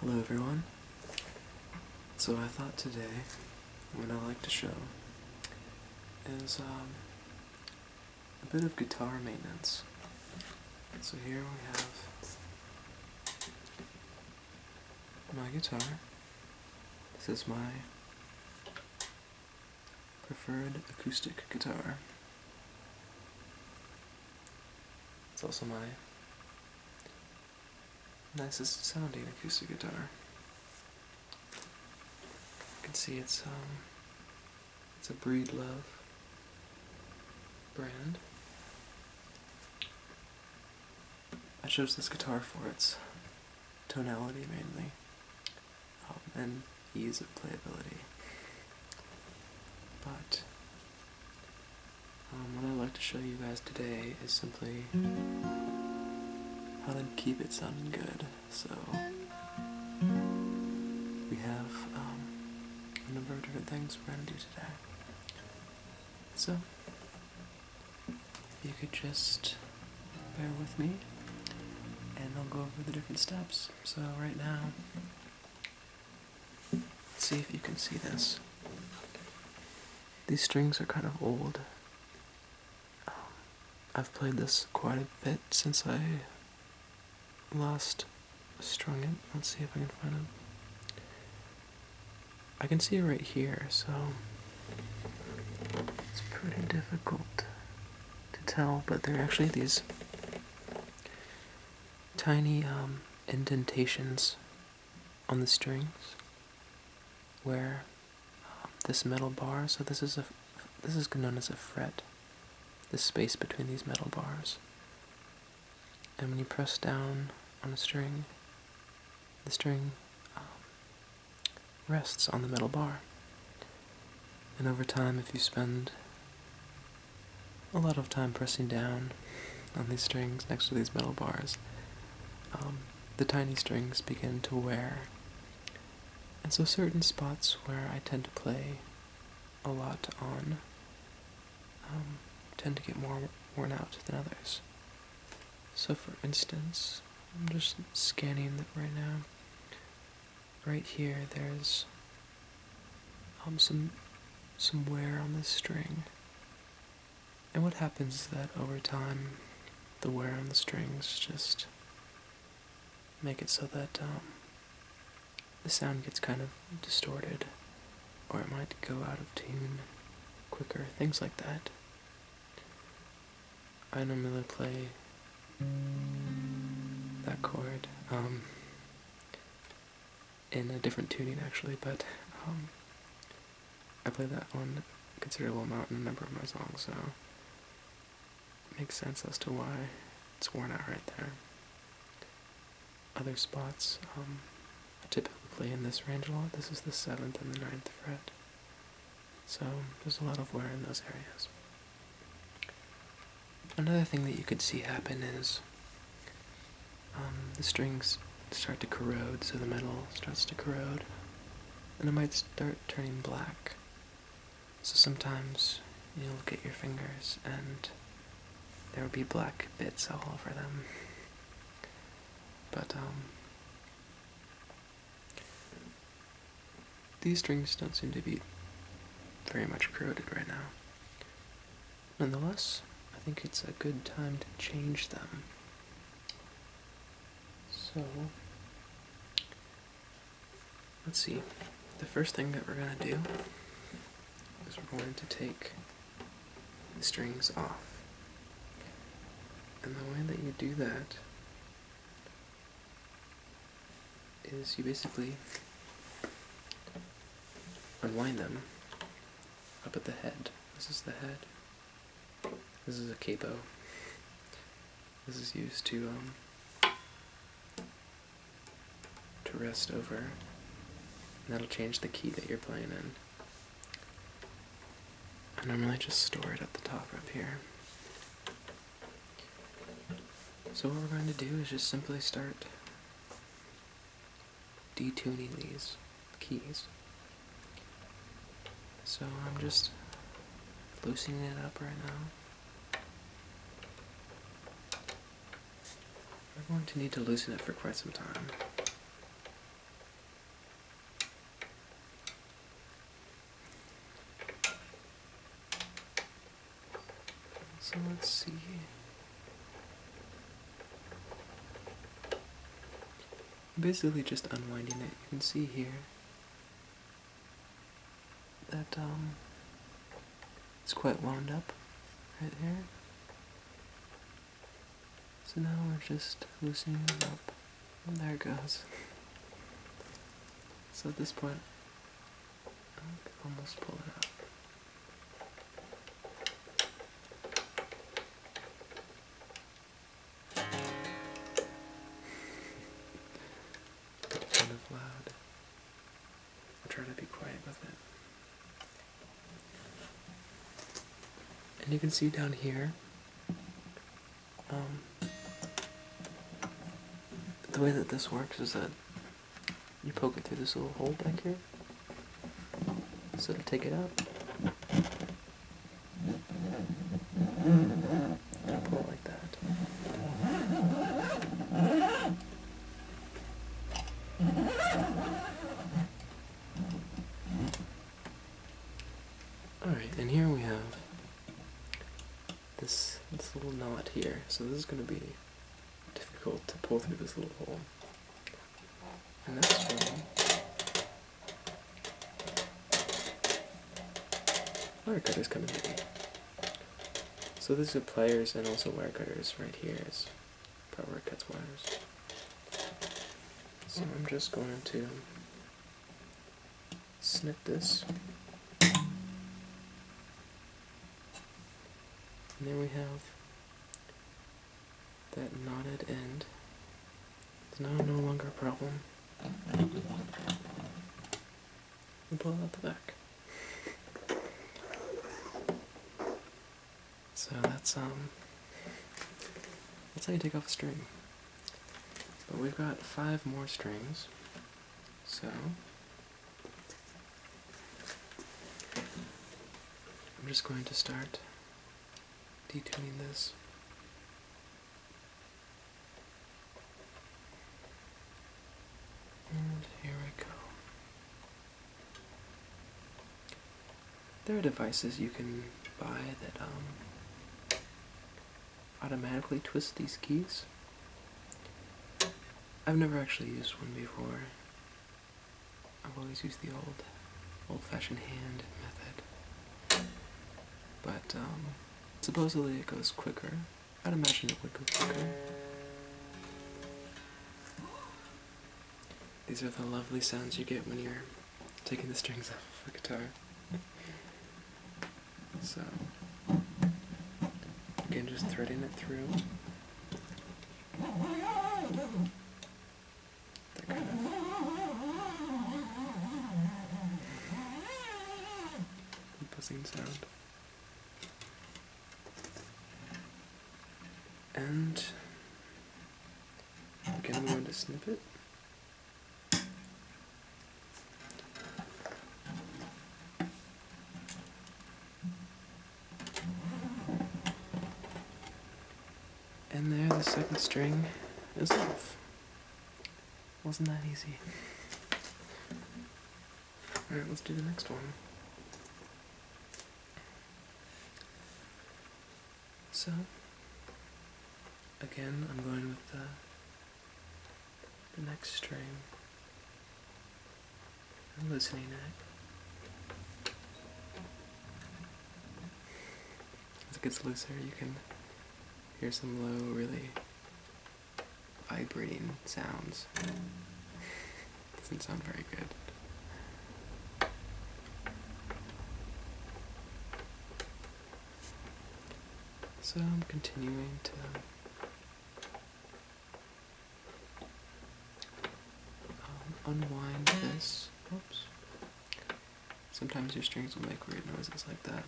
Hello everyone. So I thought today what I'd like to show is um, a bit of guitar maintenance. So here we have my guitar. This is my preferred acoustic guitar. It's also my nicest sounding acoustic guitar. You can see it's um, it's a Breedlove brand. I chose this guitar for its tonality mainly, um, and ease of playability. But um, what I'd like to show you guys today is simply how to keep it sounding good. So we have um, a number of different things we're going to do today. So if you could just bear with me and I'll go over the different steps. So right now Let's see if you can see this. These strings are kind of old. Um, I've played this quite a bit since I last strung it. Let's see if I can find it. I can see it right here, so it's pretty difficult to tell, but they're actually these tiny um, indentations on the strings where um, this metal bar, so this is a this is known as a fret, the space between these metal bars. And when you press down on a string, the string um, rests on the metal bar. And over time, if you spend a lot of time pressing down on these strings next to these metal bars, um, the tiny strings begin to wear. And so, certain spots where I tend to play a lot on um, tend to get more worn out than others. So, for instance, I'm just scanning right now. Right here, there's um, some some wear on the string. And what happens is that over time, the wear on the strings just make it so that um, the sound gets kind of distorted, or it might go out of tune quicker, things like that. I normally play that chord. Um, in a different tuning actually, but um, I play that one a considerable amount in a number of my songs, so it makes sense as to why it's worn out right there. Other spots, um, I typically play in this range a lot. This is the 7th and the ninth fret, so there's a lot of wear in those areas. Another thing that you could see happen is um, the strings start to corrode, so the metal starts to corrode, and it might start turning black. So sometimes you'll look at your fingers and there will be black bits all over them. But, um, these strings don't seem to be very much corroded right now. Nonetheless, I think it's a good time to change them. So, let's see. The first thing that we're going to do is we're going to take the strings off. And the way that you do that is you basically unwind them up at the head. This is the head. This is a capo. This is used to um, to rest over. that'll change the key that you're playing in. I normally just store it at the top up here. So what we're going to do is just simply start detuning these keys. So I'm just loosening it up right now. I'm going to need to loosen it for quite some time. So let's see. Basically, just unwinding it. You can see here that um, it's quite wound up right here. So now we're just loosening it up. there it goes. so at this point, I can almost pull it out kind of loud. I'll try to be quiet with it. And you can see down here, um, the way that this works is that you poke it through this little hole back here. So to take it out. And pull it like that. Alright, and here we have this this little knot here. So this is gonna be difficult to pull through this little hole. Wire cutters come So this is pliers and also wire cutters right here is part where it cuts wires. So I'm just going to snip this. And there we have that knotted end is now no longer a problem. And pull out the back. So that's um that's how you take off a string. But we've got five more strings. So I'm just going to start detuning this. And here I go. There are devices you can buy that um, automatically twist these keys. I've never actually used one before. I've always used the old, old-fashioned hand method. But um, supposedly it goes quicker. I'd imagine it would go quicker. These are the lovely sounds you get when you're taking the strings off of a guitar. So, again, just threading it through buzzing sound. And I'm going to move on to snippet. And there, the second string is off. Wasn't that easy? Alright, let's do the next one. So, again, I'm going with the, the next string. I'm loosening to it. As it gets looser, you can hear some low, really vibrating sounds. Doesn't sound very good. So I'm continuing to um, unwind this. Oops. Sometimes your strings will make weird noises like that.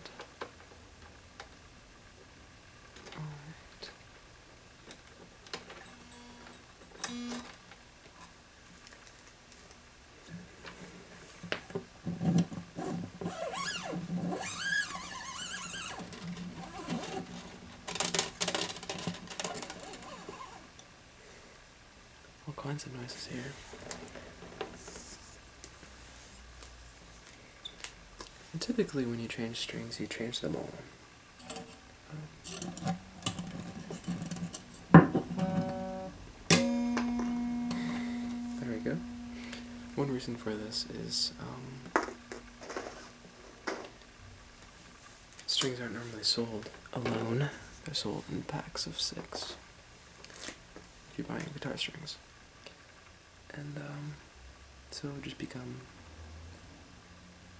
Alright all kinds of noises here. And typically when you change strings, you change them all. There we go. One reason for this is um, Strings aren't normally sold alone, they're sold in packs of six. If you're buying guitar strings. And um, so it just becomes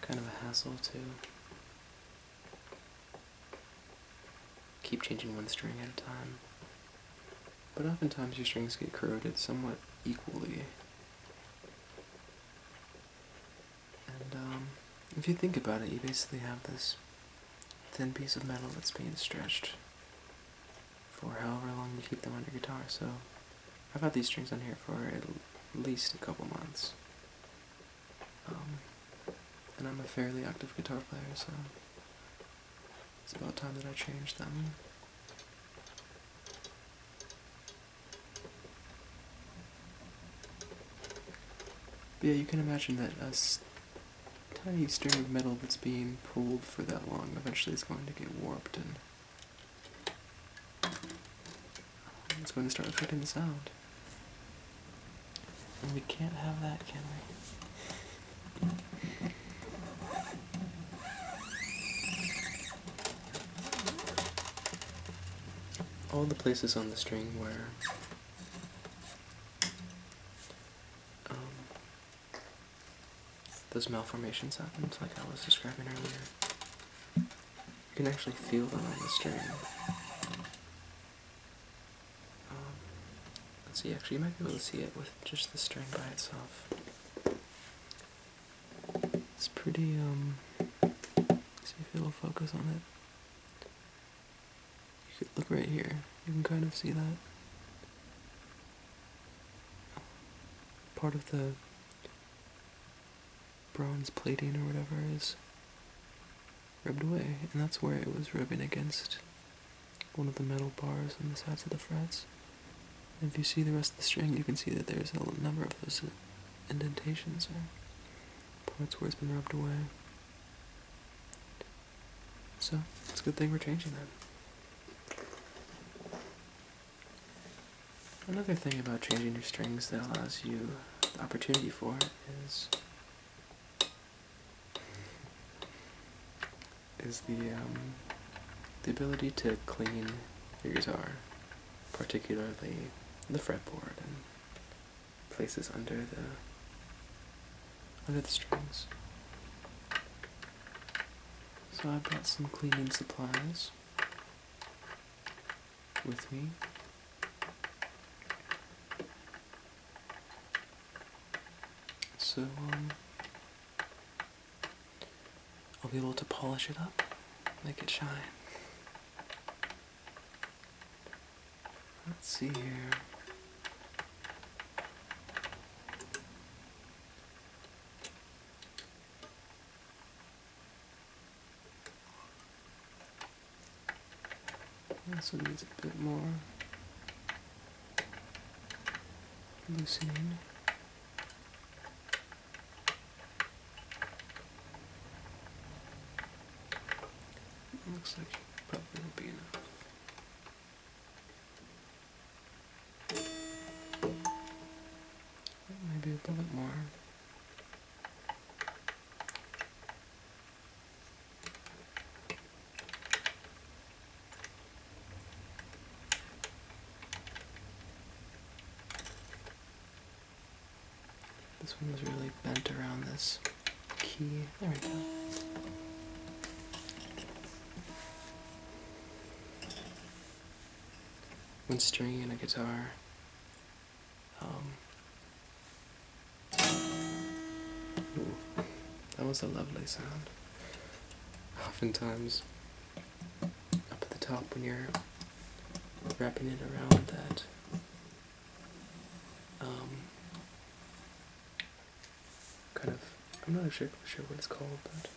kind of a hassle to keep changing one string at a time. But oftentimes your strings get corroded somewhat equally and um, if you think about it, you basically have this thin piece of metal that's being stretched for however long you keep them on your guitar. So I've had these strings on here for at least a couple months. Um, and I'm a fairly active guitar player, so it's about time that I change them yeah, you can imagine that a tiny string of metal that's being pulled for that long eventually is going to get warped and um, it's going to start affecting the sound. we can't have that, can we? all the places on the string where um, those malformations happen, like I was describing earlier. You can actually feel them on the string. Um, let's see, actually you might be able to see it with just the string by itself. It's pretty, um, see if it'll focus on it. You can look right here. You can kind of see that. Part of the bronze plating or whatever is rubbed away, and that's where it was rubbing against one of the metal bars on the sides of the frets. And if you see the rest of the string, you can see that there's a number of those indentations there. Parts where it's been rubbed away. So, it's a good thing we're changing them. Another thing about changing your strings that allows you opportunity for is is the um, the ability to clean your guitar, particularly the fretboard and places under the under the strings. So I brought some cleaning supplies with me. So um, I'll be able to polish it up, make it shine. Let's see here. This one needs a bit more loosening. Looks like it probably will be enough. Maybe a little bit more. This one was really bent around this key. There we go. When stringing a guitar, um, that was a lovely sound. Oftentimes, up at the top when you're wrapping it around that um, kind of, I'm not exactly sure what it's called, but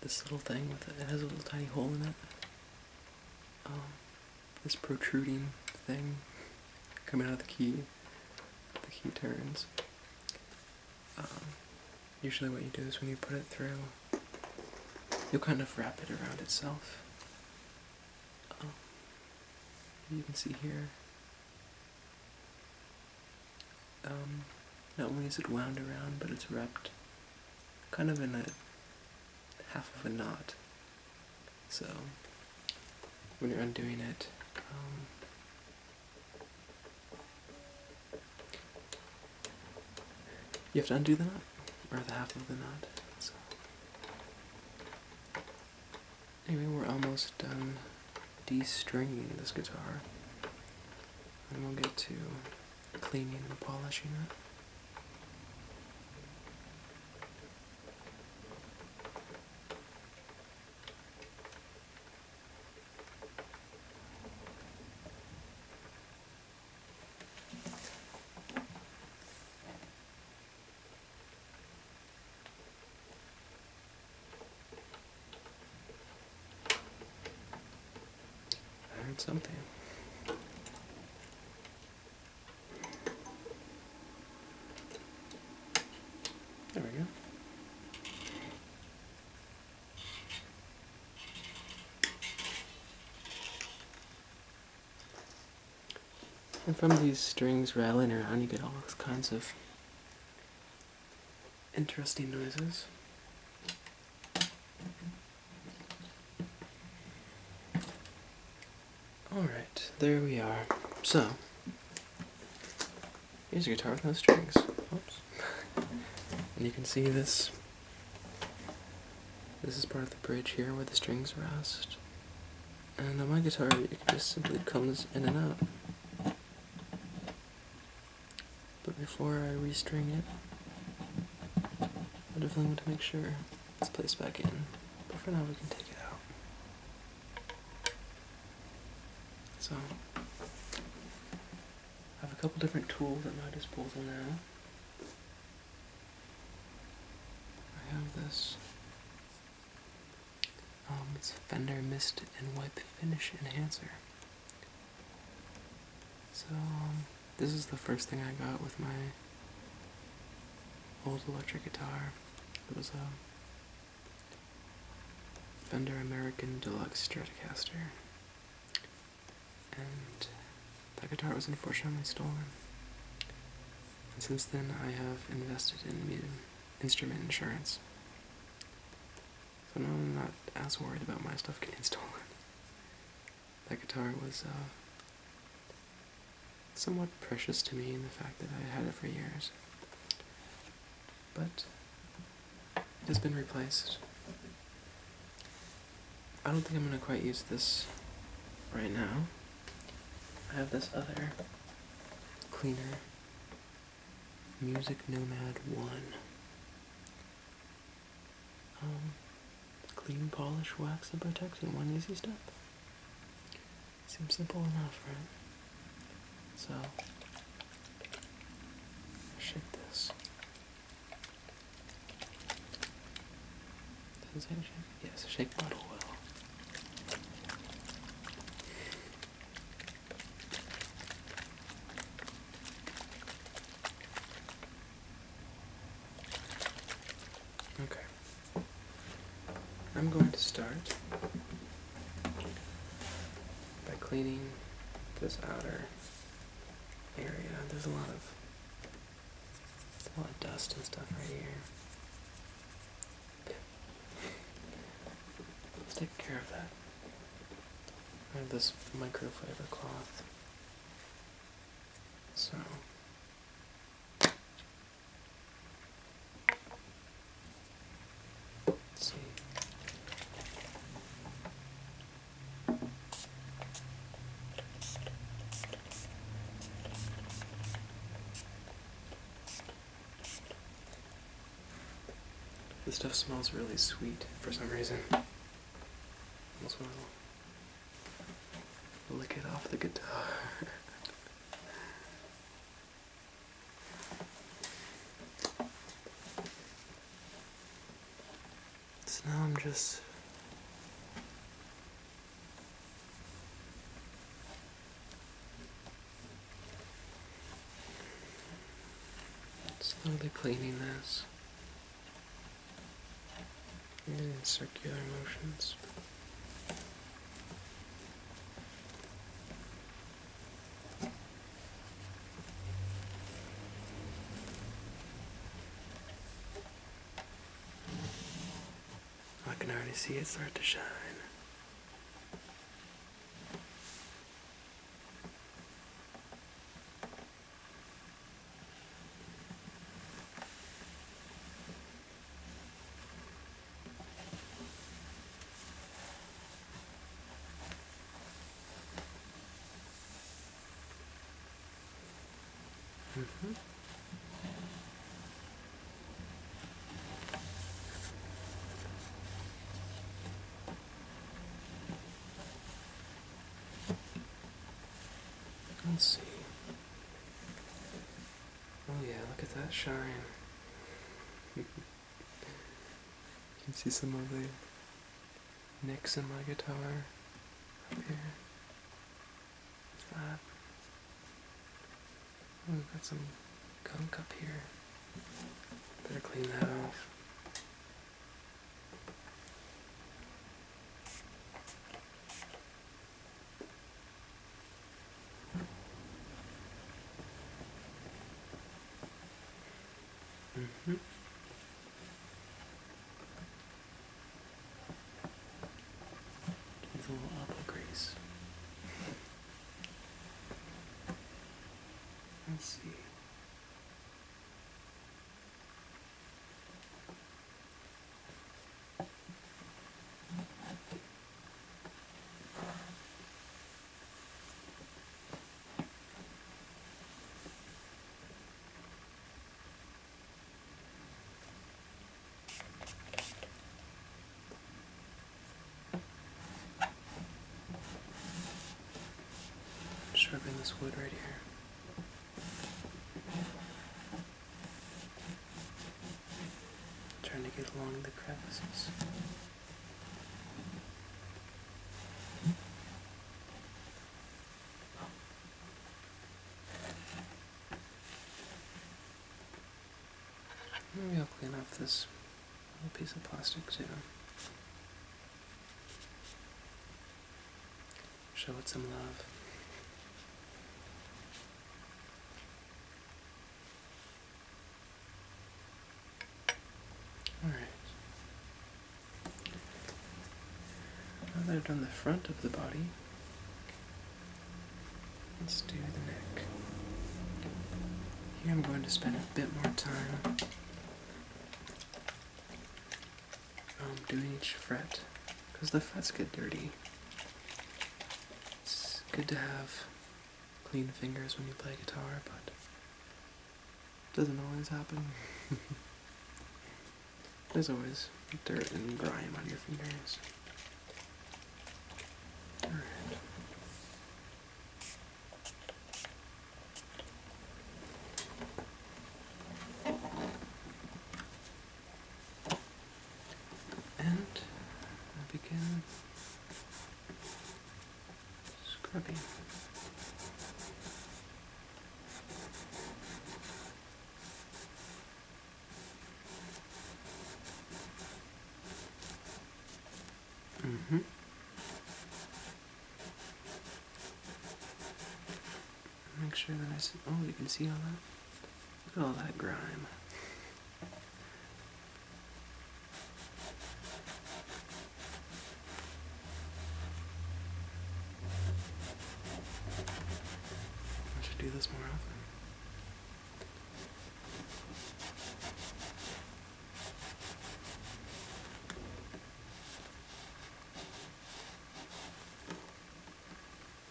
this little thing with it, it has a little tiny hole in it. Um, this protruding thing coming out of the key, the key turns. Um, usually what you do is when you put it through, you kind of wrap it around itself. Um, you can see here, um, not only is it wound around, but it's wrapped kind of in a half of a knot. So, when you're undoing it, um, you have to undo the knot, or the half of the knot. So. Anyway, we're almost done de-stringing this guitar, and we'll get to cleaning and polishing it. I heard something. There we go. And from these strings rattling around, you get all kinds of interesting noises. Alright, there we are. So, here's a guitar with no strings. Oops. and you can see this this is part of the bridge here where the strings rest. And on my guitar, it just simply comes in and out. But before I restring it, I definitely want to make sure it's placed back in. But for now, we can take it out. So, I have a couple different tools at my disposal now. I have this. Um, it's Fender Mist and Wipe Finish Enhancer. So, um, this is the first thing I got with my old electric guitar. It was a Fender American Deluxe Stratocaster and uh, that guitar was unfortunately stolen. And since then, I have invested in instrument insurance. So now I'm not as worried about my stuff getting stolen. That guitar was uh, somewhat precious to me in the fact that I had it for years. But it has been replaced. I don't think I'm going to quite use this right now. I have this other cleaner Music Nomad 1 um, Clean, polish, wax, and protect in one easy step. Seems simple enough, right? So, shake this. Does it shake? Yes, shake bottle well. Okay. I'm going to start by cleaning this outer area. There's a lot of a lot of dust and stuff right here. Let's take care of that. I have this microfiber cloth. So Let's see. This stuff smells really sweet for some reason. Almost want lick it off the guitar. So now I'm just slowly cleaning this in circular motions. I can already see it start to shine. Mm -hmm. Let's see. Oh yeah, look at that shine. you can see some of the nicks my guitar up here. That. we've got some gunk up here. Better clean that off. Mm -hmm. Give a little elbow grease. I us see. Just ripping this wood right here. Trying to get along the crevices. Maybe I'll clean off this little piece of plastic too. Show it some love. Alright. Now that I've done the front of the body, let's do the neck. Here I'm going to spend a bit more time um, doing each fret, because the frets get dirty. It's good to have clean fingers when you play guitar, but doesn't always happen. There's always dirt and grime on your fingers. And I begin scrubbing. Mm-hmm. Make sure that I Oh, you can see all that? Look at all that grime. I should do this more often.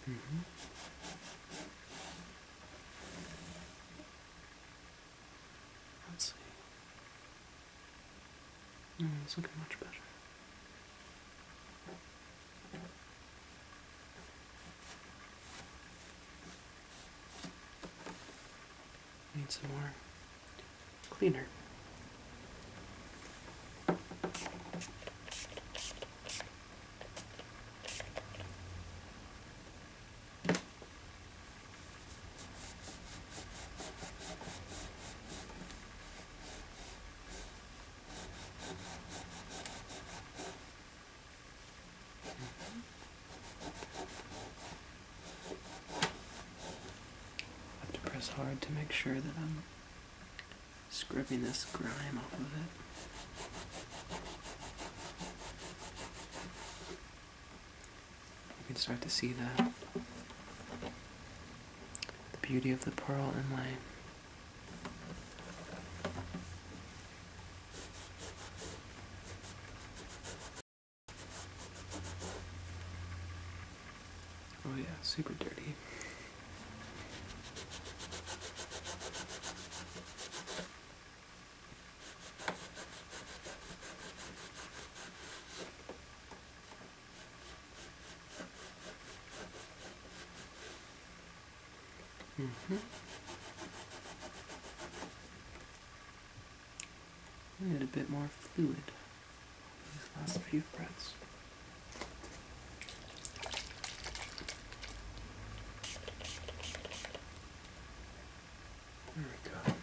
Mm -hmm. Let's see it's looking much better. Need some more cleaner have to press hard to make sure that I'm scrubbing this grime off of it. You can start to see that the beauty of the pearl inlay. Oh yeah, super dirty. Mm mm-hmm. I need a bit more fluid these last few breaths. There we go.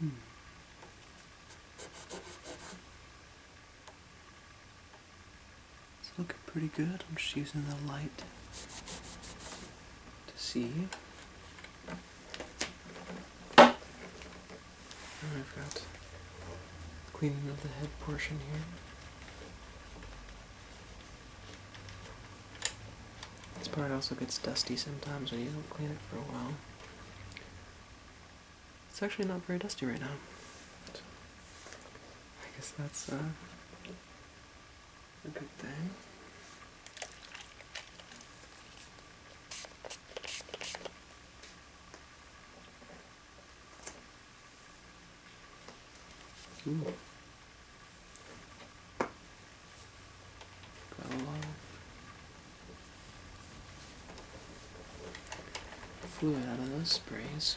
Hmm. It's looking pretty good. I'm just using the light to see. Oh, I've got Cleaning of the head portion here. This part also gets dusty sometimes when you don't clean it for a while. It's actually not very dusty right now. I guess that's uh, a good thing. Ooh. Got fluid out of those sprays.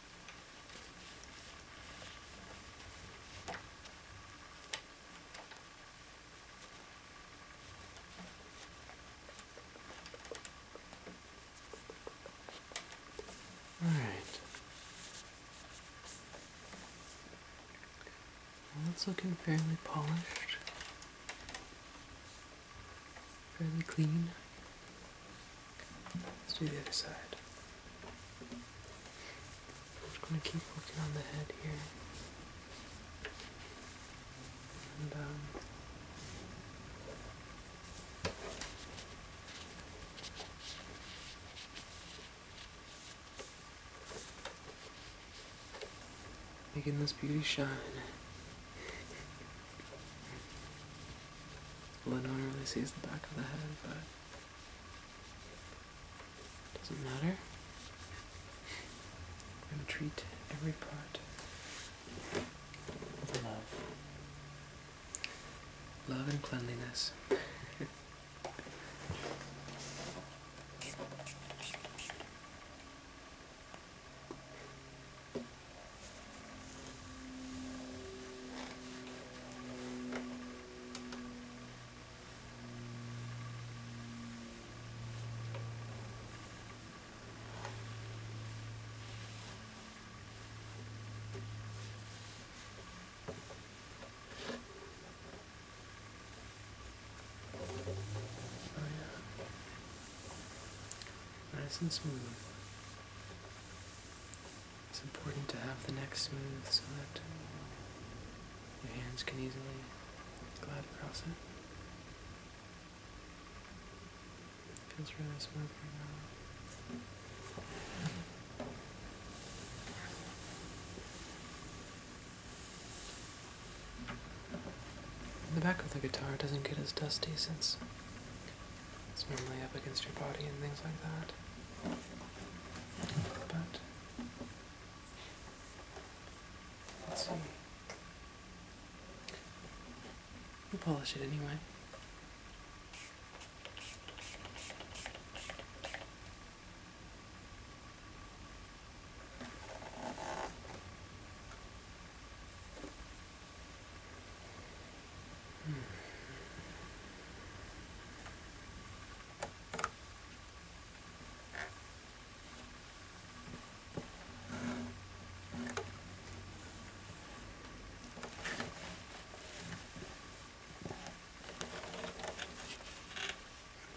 All right. Well, that's looking fairly polished, fairly clean. Let's do the other side. I'm just going to keep working on the head here. And, um, making this beauty shine. Lenore really sees the back of the head, but doesn't matter. We're going to treat every part with love. Love and cleanliness. Oh, nice and smooth. It's important to have the neck smooth so that your hands can easily glide across it. it feels really smooth right now. The back of the guitar doesn't get as dusty since its normally up against your body and things like that. But let's see. we polish it anyway.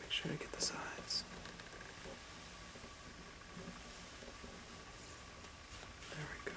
Make sure to get the sides. There we go.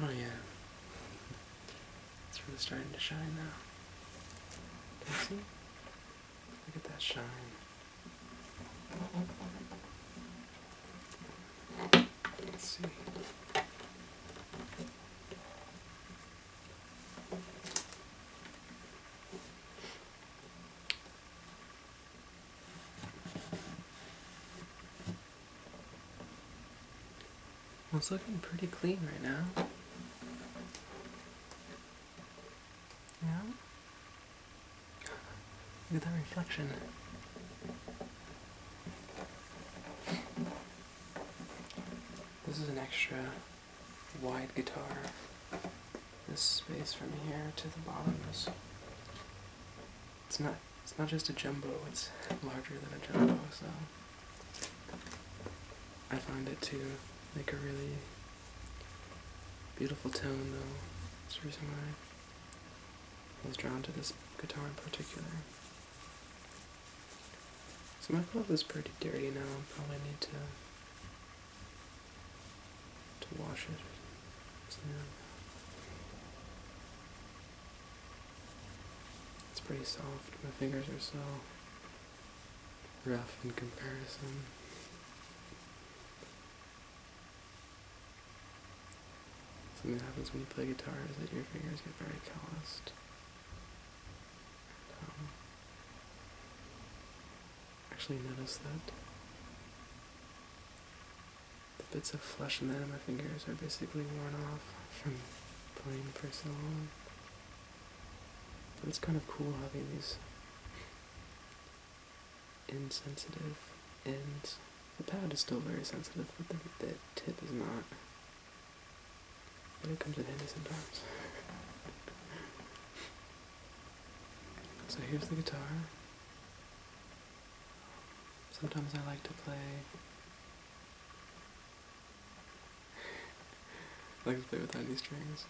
Oh yeah. It's really starting to shine now. Can you see? Look at that shine. Let's see. Well, it's looking pretty clean right now. Yeah? Look at that reflection. This is an extra wide guitar this space from here to the bottom is it's not it's not just a jumbo, it's larger than a jumbo, so I find it to make a really beautiful tone though. That's the reason why I was drawn to this guitar in particular. So my cloth is pretty dirty now, i probably need to to wash it. It's pretty soft. My fingers are so rough in comparison. Something that happens when you play guitar is that your fingers get very calloused. Um, actually noticed that. The bits of flesh in the end of my fingers are basically worn off from playing for so long. But it's kind of cool having these insensitive ends. The pad is still very sensitive, but the, the tip is not. But it comes in handy sometimes. so here's the guitar. Sometimes I like to play. I like to play without these strings.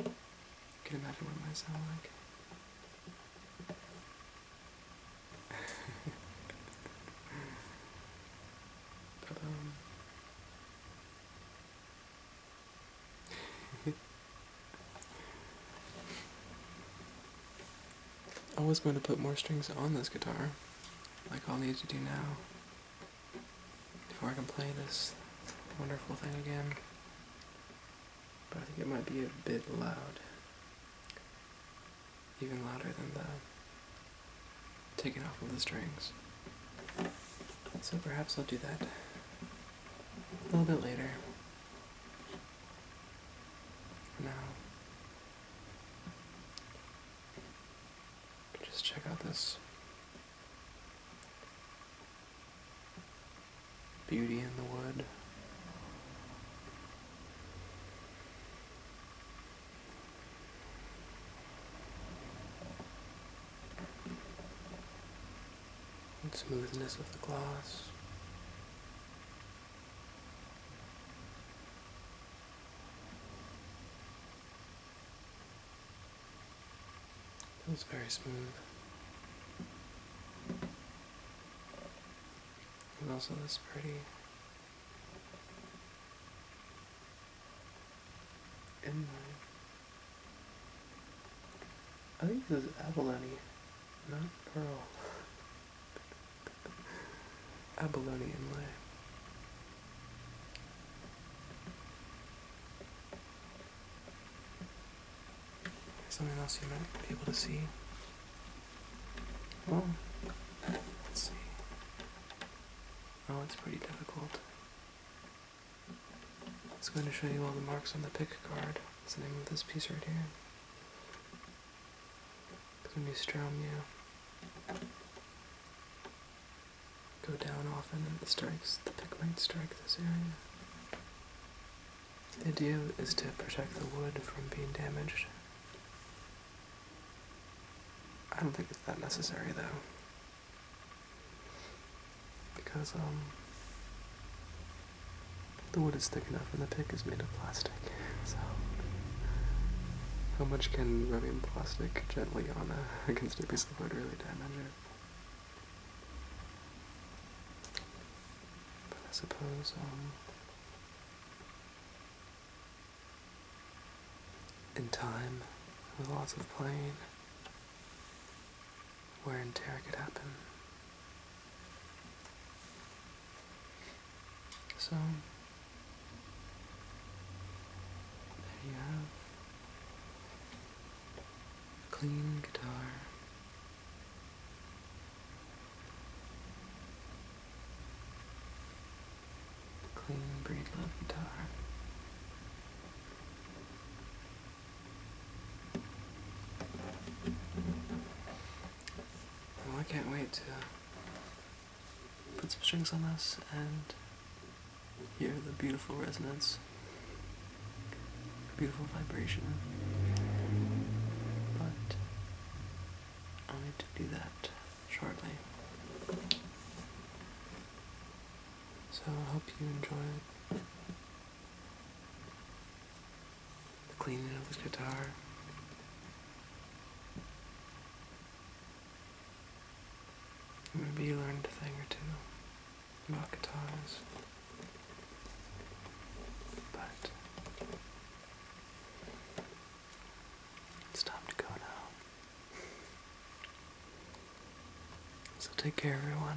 You can imagine what it might sound like. but, I was going to put more strings on this guitar, like I'll need to do now, before I can play this wonderful thing again. But I think it might be a bit loud. Even louder than the taking off all the strings. So perhaps I'll do that a little bit later. Now, just check out this beauty in the wood and smoothness of the glass. It's very smooth. And also this pretty inline. I think this is abalone. Not pearl. Abalone inlay. Something else you might be able to see. Well, let's see. Oh, it's pretty difficult. It's going to show you all the marks on the pick card. That's with this piece right here. It's gonna strum, yeah. Go down often and it strikes, the pick might strike this area. The idea is to protect the wood from being damaged. I don't think it's that necessary though because um, the wood is thick enough and the pick is made of plastic. So, how much can rubbing plastic gently on a, against a piece of wood really damage it? But I suppose, um, in time, with lots of playing, where in terror could happen. So, there you have clean guitar. clean breed love guitar. Well, I can't wait to put some strings on this and hear the beautiful resonance, beautiful vibration. But I'll need to do that shortly. So I hope you enjoy it the cleaning of his guitar. Maybe you learned a thing or two about guitars. But it's time to go now. So take care, everyone.